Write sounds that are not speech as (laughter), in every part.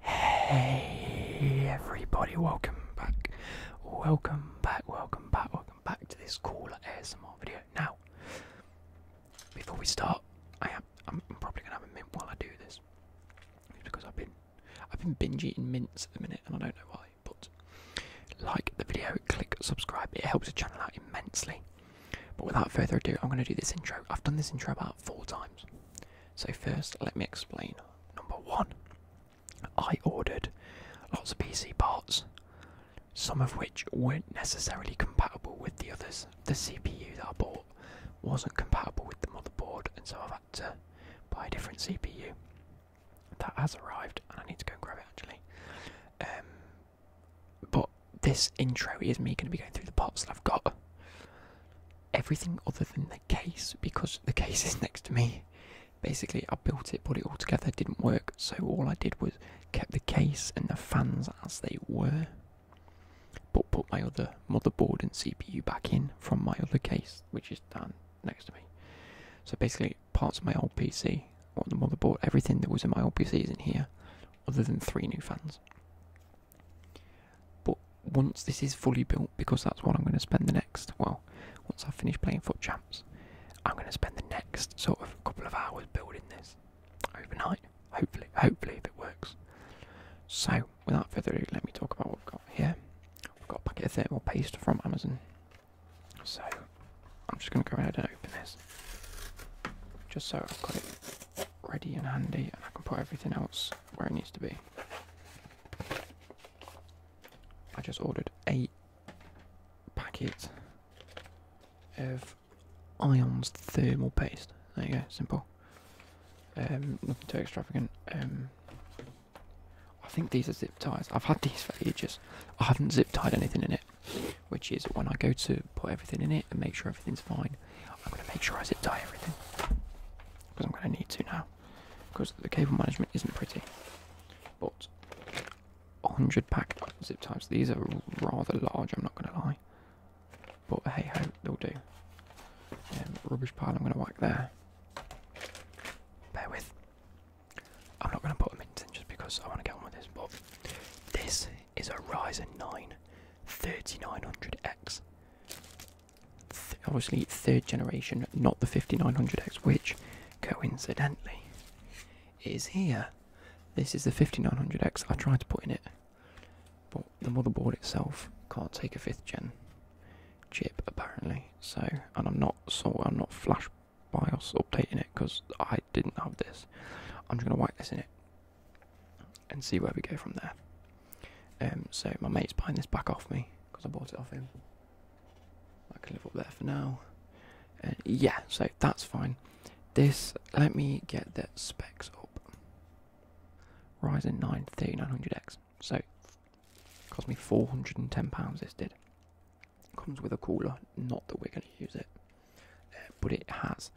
Hey everybody, welcome back, welcome back, welcome back, welcome back to this cool ASMR video. Now, before we start, I am I'm probably gonna have a mint while I do this, it's because I've been I've been binge eating mints at the minute, and I don't know why. But like the video, click subscribe. It helps the channel out immensely. But without further ado, I'm gonna do this intro. I've done this intro about four times. So first, let me explain. Number one, I ordered lots of PC parts, some of which weren't necessarily compatible with the others. The CPU that I bought wasn't compatible with the motherboard, and so I've had to buy a different CPU. That has arrived, and I need to go and grab it actually. Um, but this intro is me going to be going through the parts that I've got. Everything other than the case, because the case (laughs) is next to me. Basically, I built it, put it all together, didn't work, so all I did was kept the case and the fans as they were, but put my other motherboard and CPU back in from my other case, which is down next to me. So basically, parts of my old PC, what the motherboard, everything that was in my old PC is in here, other than three new fans. But once this is fully built, because that's what I'm going to spend the next, well, once I finish playing Foot Champs, I'm going to spend the next sort of couple of hours building this overnight. Hopefully, hopefully, if it works. So, without further ado, let me talk about what we've got here. We've got a packet of thermal paste from Amazon. So, I'm just going to go ahead and open this, just so I've got it ready and handy and I can put everything else where it needs to be. I just ordered eight packets of Ion's thermal paste. There you go, simple. Um, nothing too extravagant. Um, I think these are zip ties. I've had these for ages. I haven't zip tied anything in it, which is when I go to put everything in it and make sure everything's fine. I'm going to make sure I zip tie everything because I'm going to need to now because the cable management isn't pretty. But 100 pack zip ties, these are rather large, I'm not going to lie. But hey ho, they'll do. Um, rubbish pile, I'm going to whack there. Bear with. I'm not going to put them in just because I want to get on with this, but this is a Ryzen 9 3900X. obviously, third generation, not the 5900X, which coincidentally is here. This is the 5900X I tried to put in it, but the motherboard itself can't take a fifth gen chip apparently. So, and I'm not so I'm not flash BIOS updating it because I didn't have this. I'm just gonna wipe this in it and see where we go from there. Um, so my mate's buying this back off me because I bought it off him. I can live up there for now. yeah, so that's fine. This, let me get the specs up. Ryzen 9 nine hundred x So, cost me £410 this did. Comes with a cooler, not that we're going to use it. Uh, but it has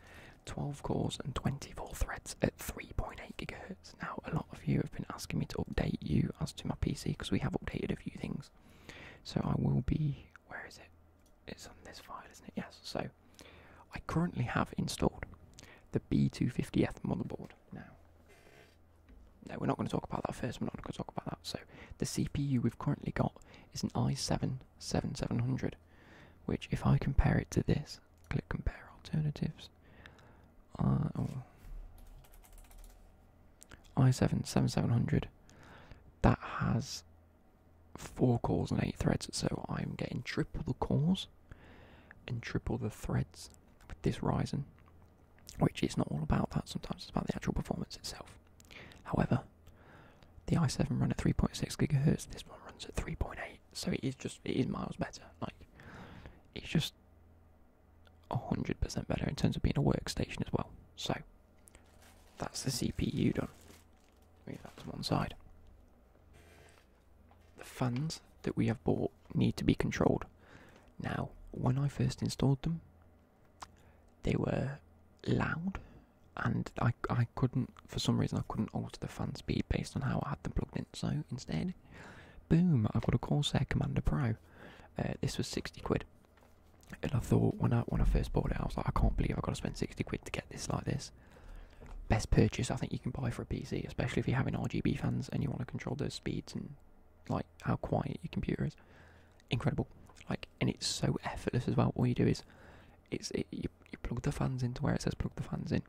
12 cores and 24 threads at 3.8 gigahertz. Now, a lot of you have been asking me to update you as to my PC because we have updated a few things. So I will be. Where is it? It's on this file, isn't it? Yes. So I currently have installed the B250F motherboard. Now, no, we're not going to talk about that first. We're not going to talk about that. So the CPU we've currently got is an i7 7700, which, if I compare it to this, Click compare alternatives. Uh, i7 7700. That has four cores and eight threads, so I'm getting triple the cores and triple the threads with this Ryzen. Which is not all about that, sometimes it's about the actual performance itself. However, the i7 ran at 3.6 gigahertz, this one runs at 3.8. So it is just it is miles better. Like it's just hundred percent better in terms of being a workstation as well. So that's the CPU done. Move that to one side. The fans that we have bought need to be controlled. Now, when I first installed them, they were loud and I, I couldn't, for some reason, I couldn't alter the fan speed based on how I had them plugged in. So instead, boom, I've got a Corsair Commander Pro. Uh, this was 60 quid. And I thought when I when I first bought it, I was like, I can't believe I've got to spend 60 quid to get this like this. Best purchase I think you can buy for a PC, especially if you're having RGB fans and you want to control those speeds and like how quiet your computer is. Incredible. Like and it's so effortless as well. All you do is it's you, you plug the fans into where it says plug the fans in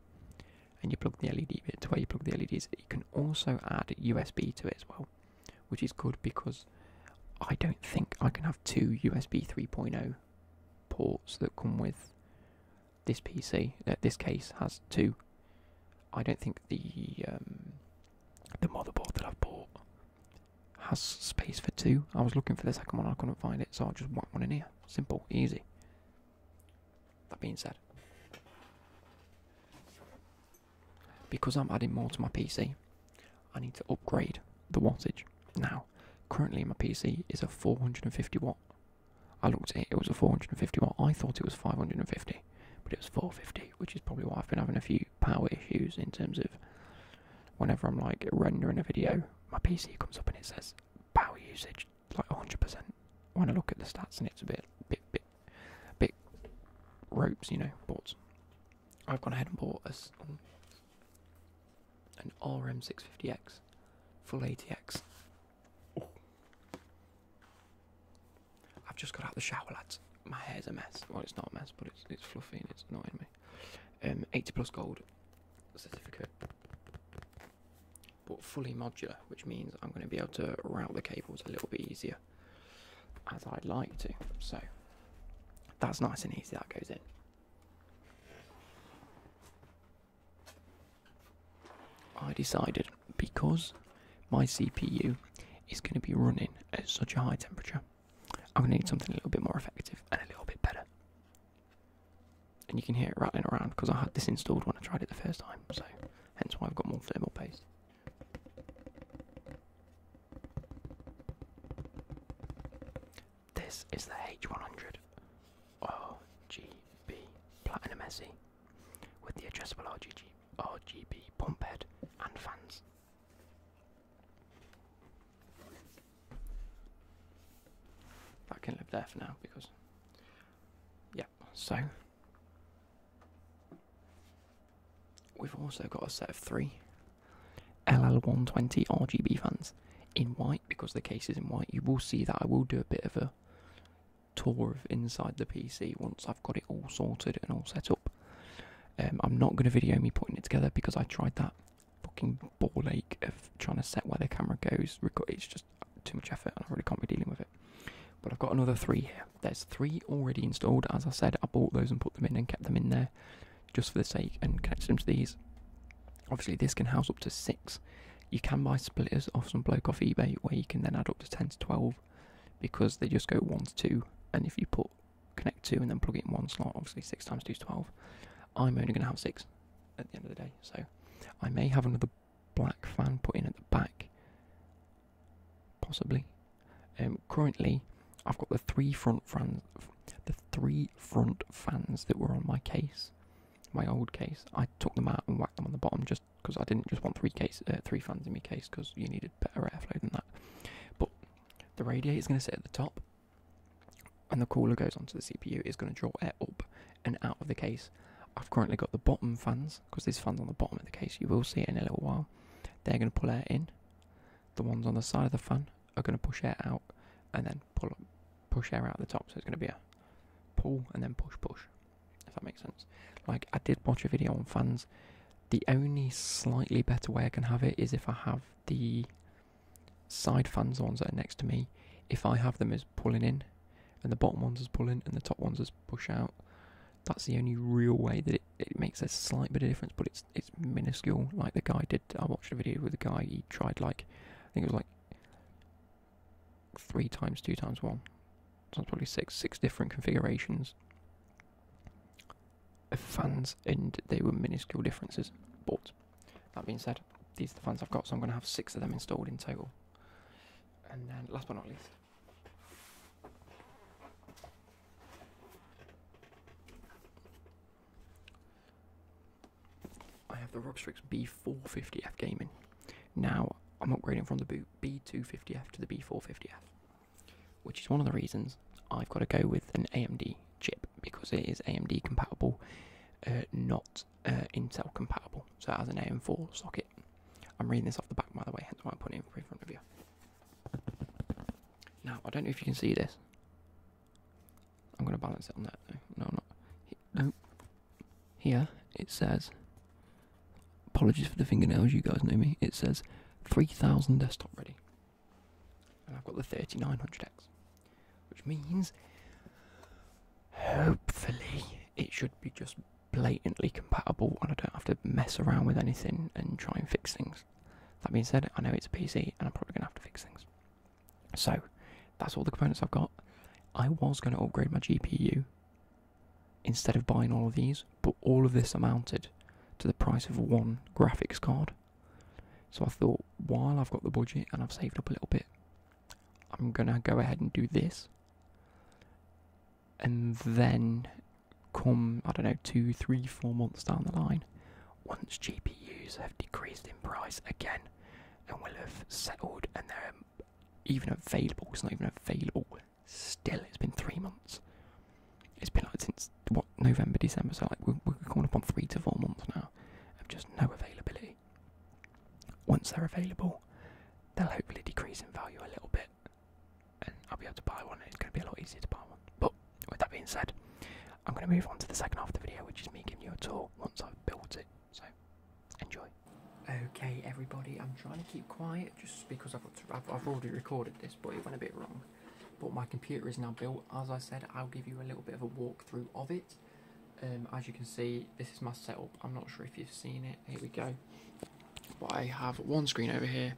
and you plug the LED bit to where you plug the LEDs. You can also add USB to it as well, which is good because I don't think I can have two USB 3.0 ports that come with this PC. Uh, this case has two. I don't think the um, the motherboard that I've bought has space for two. I was looking for the second one, I couldn't find it, so I just whacked one in here. Simple, easy. That being said, because I'm adding more to my PC, I need to upgrade the wattage. Now, currently my PC is a 450 watt. I looked at it, it was a 450 watt. I thought it was 550, but it was 450, which is probably why I've been having a few power issues in terms of whenever I'm like rendering a video, my PC comes up and it says power usage like 100%. When I look at the stats, and it's a bit, bit, bit, bit ropes, you know, boards. I've gone ahead and bought a, an RM650X, full ATX. I've just got out the shower, lads. My hair's a mess. Well, it's not a mess, but it's it's fluffy and it's not in me. Um, 80 plus gold certificate, but fully modular, which means I'm going to be able to route the cables a little bit easier as I'd like to. So that's nice and easy, that goes in. I decided because my CPU is going to be running at such a high temperature, I'm going to need something a little bit more effective and a little bit better and you can hear it rattling around because I had this installed when I tried it the first time, so hence why I've got more thermal paste. This is the H100 RGB Platinum SE with the addressable RGB, RGB pump head and fans. I can live there for now because, yeah, so we've also got a set of three LL120 RGB fans in white because the case is in white. You will see that I will do a bit of a tour of inside the PC once I've got it all sorted and all set up. Um, I'm not going to video me putting it together because I tried that fucking ball ache of trying to set where the camera goes. It's just too much effort, and I really can't be dealing with it. But I've got another three here. There's three already installed. As I said, I bought those and put them in and kept them in there just for the sake and connected them to these. Obviously, this can house up to six. You can buy splitters off some bloke off eBay where you can then add up to 10 to 12 because they just go 1 to 2. And if you put connect 2 and then plug it in one slot, obviously 6 times 2 is 12. I'm only going to have 6 at the end of the day. So I may have another black fan put in at the back, possibly. Um, currently, I've got the three front fans, the three front fans that were on my case, my old case. I took them out and whacked them on the bottom just because I didn't just want three case, uh, three fans in my case because you needed better airflow than that. But the radiator is going to sit at the top and the cooler goes onto the CPU is going to draw air up and out of the case. I've currently got the bottom fans because these fans on the bottom of the case you will see it in a little while. They're going to pull air in. The ones on the side of the fan are going to push air out and then pull up, push air out the top. So it's going to be a pull and then push push. If that makes sense. Like I did watch a video on fans. The only slightly better way I can have it is if I have the side fan zones that are next to me, if I have them as pulling in, and the bottom ones as pulling, and the top ones as push out, that's the only real way that it, it makes a slight bit of difference, but it's it's minuscule. Like the guy did, I watched a video with a guy, he tried like, I think it was like three times, two times one, That's probably six, six different configurations of fans, and they were minuscule differences. But that being said, these are the fans I've got, so I'm going to have six of them installed in total. And then, last but not least, I have the Robstrix B450F Gaming. Now, I'm upgrading from the boot B250F to the B450F, which is one of the reasons I've got to go with an AMD chip because it is AMD compatible, uh, not uh, Intel compatible. So it has an AM4 socket. I'm reading this off the back, by the way, hence why I'm putting it in front of you. Now, I don't know if you can see this. I'm going to balance it on that. No, not. No. Here it says, apologies for the fingernails, you guys know me. It says 3000 desktop ready. And I've got the 3900X which means hopefully it should be just blatantly compatible and I don't have to mess around with anything and try and fix things. That being said, I know it's a PC and I'm probably going to have to fix things. So, that's all the components I've got. I was going to upgrade my GPU instead of buying all of these, but all of this amounted to the price of one graphics card. So I thought, while I've got the budget and I've saved up a little bit, I'm gonna go ahead and do this. And then come, I don't know, two, three, four months down the line, once GPUs have decreased in price again and we will have settled and they're even available, it's not even available still, it's been three months. It's been like since what November, December, so like we're, we're coming up on three to four months now. Have just no availability. Once they're available, they'll hopefully decrease in value a little bit, and I'll be able to buy one, it's going to be a lot easier to buy one. But with that being said, I'm going to move on to the second half of the video, which is me giving you a tour once I've built it. So, enjoy. Okay, everybody, I'm trying to keep quiet just because I've already recorded this, but it went a bit wrong. But my computer is now built. As I said, I'll give you a little bit of a walkthrough of it um, as you can see, this is my setup. I'm not sure if you've seen it. Here we go. I have one screen over here,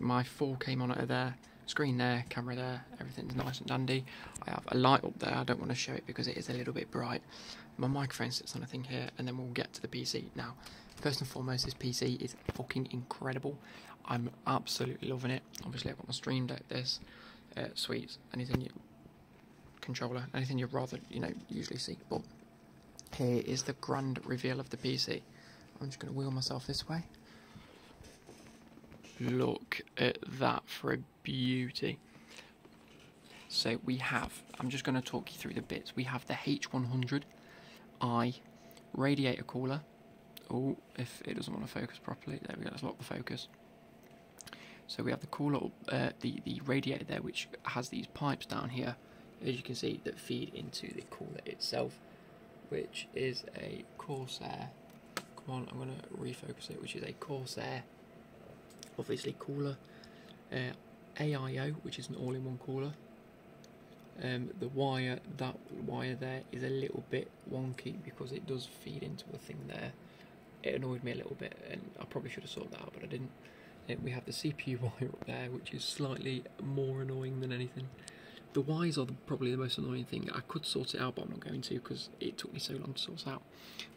my 4K monitor there, screen there, camera there, everything's nice and dandy. I have a light up there, I don't want to show it because it is a little bit bright. My microphone sits on the thing here, and then we'll get to the PC. Now, first and foremost, this PC is fucking incredible. I'm absolutely loving it. Obviously, I've got my stream deck, this, uh, sweets, anything you controller, anything you'd rather you know usually see. But here is the grand reveal of the PC. I'm just going to wheel myself this way. Look at that for a beauty. So we have, I'm just going to talk you through the bits. We have the H100i radiator cooler. Oh, if it doesn't want to focus properly. There we go, let's lock the focus. So we have the cooler, uh, the, the radiator there, which has these pipes down here, as you can see, that feed into the cooler itself, which is a Corsair. Come on, I'm going to refocus it, which is a Corsair, obviously cooler. Uh, AIO, which is an all-in-one cooler. Um, the wire, that wire there is a little bit bit wonky because it does feed into the thing there. It annoyed me a little bit, and I probably should have sorted that out, but I didn't. Uh, we have the CPU (laughs) wire up there, which is slightly more annoying than anything. The wires are probably the most annoying thing. I could sort it out, but I'm not going to because it took me so long to sort out.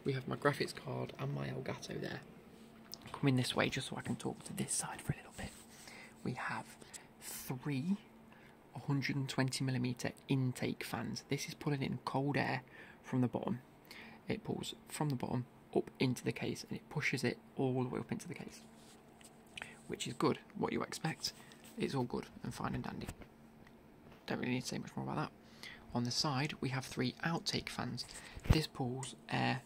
We have my graphics card and my Elgato there. Coming this way just so I can talk to this side for a little bit. We have three 120 millimeter intake fans. This is pulling in cold air from the bottom. It pulls from the bottom up into the case and it pushes it all the way up into the case, which is good. What you expect, it's all good and fine and dandy. Don't really need to say much more about that. On the side, we have three outtake fans. This pulls air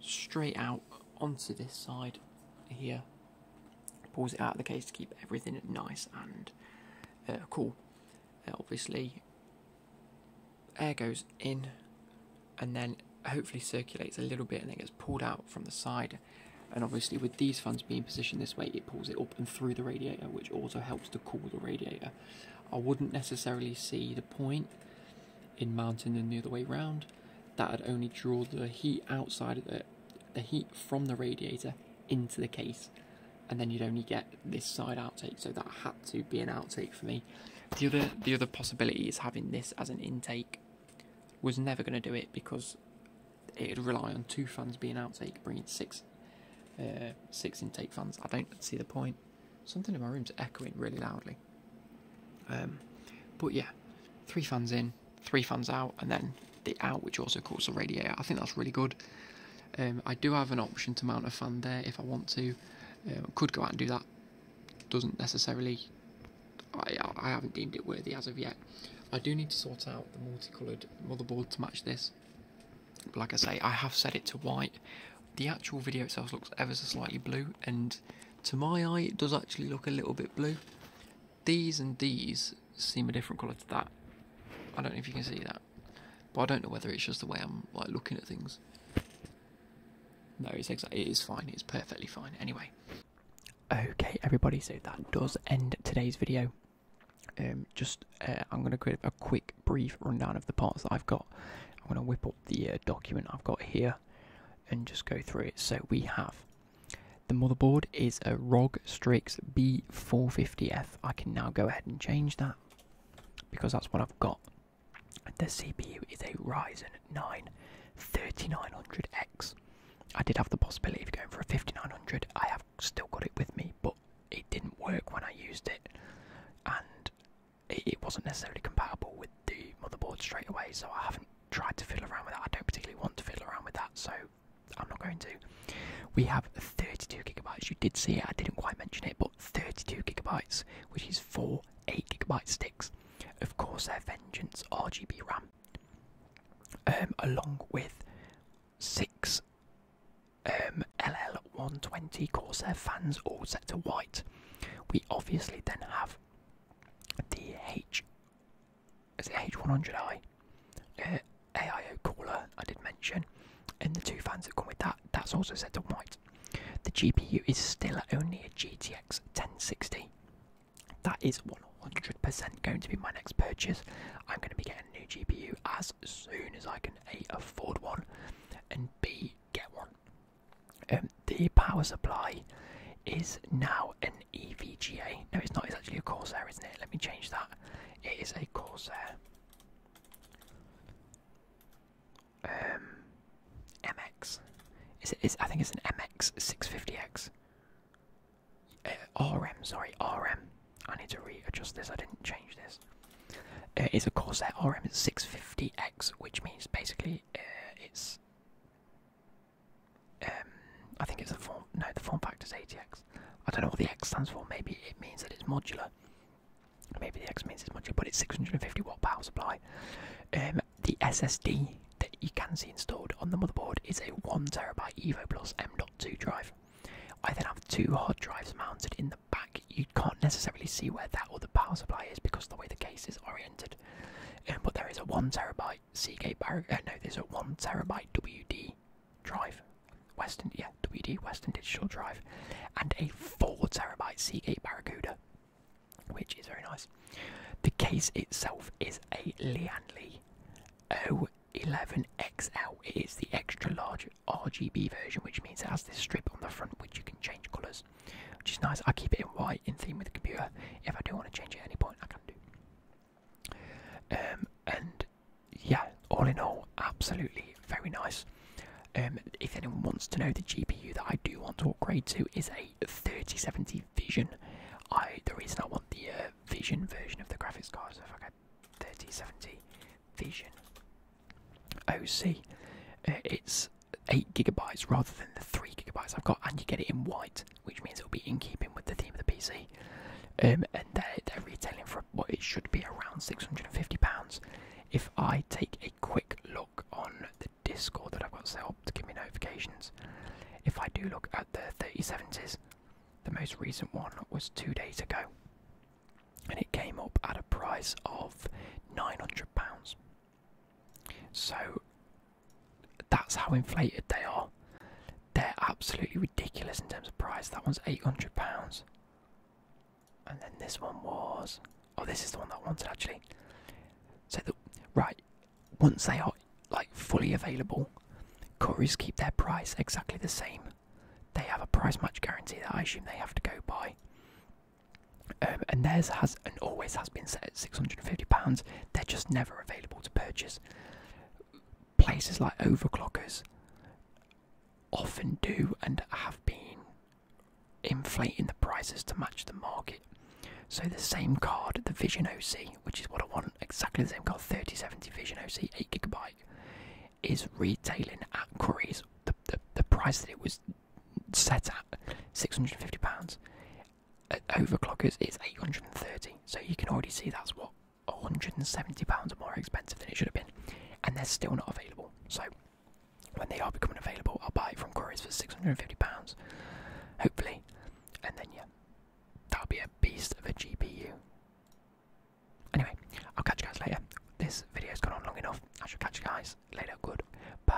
straight out onto this side here Pulls it out of the case to keep everything nice and uh, cool. Uh, obviously, air goes in and then hopefully circulates a little bit and then gets pulled out from the side. And obviously, with these fans being positioned this way, it pulls it up and through the radiator, which also helps to cool the radiator. I wouldn't necessarily see the point in mounting them the other way round. That would only draw the heat outside the, the heat from the radiator into the case and then you'd only get this side outtake so that had to be an outtake for me the other the other possibility is having this as an intake was never going to do it because it'd rely on two fans being outtake bringing six uh, six intake fans i don't see the point something in my room's echoing really loudly um, but yeah three fans in three fans out, and then the out, which also calls the radiator. I think that's really good. Um, I do have an option to mount a fan there if I want to. Um, could go out and do that. Doesn't necessarily. I, I haven't deemed it worthy as of yet. I do need to sort out the multicoloured motherboard to match this. like I say, I have set it to white. The actual video itself looks ever so slightly blue, and to my eye, it does actually look a little bit blue these and these seem a different colour to that. I don't know if you can see that. But I don't know whether it's just the way I'm like looking at things. No, it's exactly it is fine, it's perfectly fine. Anyway. Okay everybody, so that does end today's video. Um, just uh, I'm going to create a quick brief rundown of the parts that I've got. I'm going to whip up the uh, document I've got here and just go through it. So we have the motherboard is a ROG Strix B450F. I can now go ahead and change that because that's what I've got. The CPU is a Ryzen 9 3900X. I did have the possibility of going for a 5900. I have still got it with me, but it didn't work when I used it, and it wasn't necessarily compatible with the motherboard straight away. So I haven't tried to fiddle around with that. I don't particularly want to fiddle around with that. So I'm not going to. We have 32 gigabytes. You did see it, I didn't quite mention it, but 32 gigabytes, which is four 8 gigabyte sticks. Of course, their Vengeance RGB RAM, um, along with six um, LL120 Corsair fans, all set to white. We obviously then have the H it's the H100i uh, AIO cooler I did mention, and the two fans that come with that, that's also set to white. The GPU is still only a GTX 1060. That is 100% going to be my next purchase. I'm going to be getting a new GPU as soon as I can A, afford one, and B, get one. Um, the power supply is now an EVGA. No, it's not. It's actually a Corsair, isn't it? Let me change that. It is a Corsair. Um, MX. Is it? Is I think it's an MX 650X. RM, sorry, RM. I need to readjust this. I didn't change this. Uh, it's a Corsair RM 650X, which means basically uh, it's um, I think it's the form. No, the form factor is ATX. I I don't know what the x stands for. Maybe it means that it's modular. Maybe the x means it's modular, but it's 650 watt power supply. Um, the SSD that you can see installed on the motherboard is a one terabyte Evo Plus M.2 drive. I then have two hard drives mounted in the back. You can't necessarily see where that or the power supply is because of the way the case is oriented. Um, but there is a one terabyte Seagate Barracuda. Uh, no, there's a one terabyte WD drive, Western, yeah, WD Western Digital Drive, and a 4TB Seagate Barracuda, which is very nice. The case itself is a Lianli O11XL. It is the extra large RGB version, which means it has this strip on the front which you can change colours, which is nice. I keep it in white in theme with the computer. If I do want to change it at any point, I can do. Um, and yeah, all in all, absolutely very nice. Um, if anyone wants to know the GPU that I do want to upgrade to is a 3070 Vision. I the reason I want the uh, Vision version of the graphics card is so if I get 3070 Vision OC, uh, it's eight gigabytes rather than the three gigabytes I've got, and you get it in white which means it'll be in keeping with the theme of the PC. Um, and they're, they're retailing for what it should be around £650. If I take a quick look on the Discord that I've got set up to give me notifications, if I do look at the 3070s, the most recent one was two days ago, and it came up at a price of £900. So that's how inflated they are. They're absolutely ridiculous in terms of price. That one's eight hundred pounds, and then this one was. Oh, this is the one that I wanted actually. So the right once they are like fully available, couriers keep their price exactly the same. They have a price match guarantee that I assume they have to go by. Um, and theirs has and always has been set at £650. They're just never available to purchase places like overclockers often do and have been inflating the prices to match the market. So the same card, the Vision OC, which is what I want, exactly the same card, 3070 Vision OC, 8GB, is retailing at Curry's, the, the price that it was set at, £650 overclockers is 830 so you can already see that's what 170 pounds more expensive than it should have been and they're still not available so when they are becoming available i'll buy it from couriers for 650 pounds hopefully and then yeah that'll be a beast of a gpu anyway i'll catch you guys later this video's gone on long enough i should catch you guys later good bye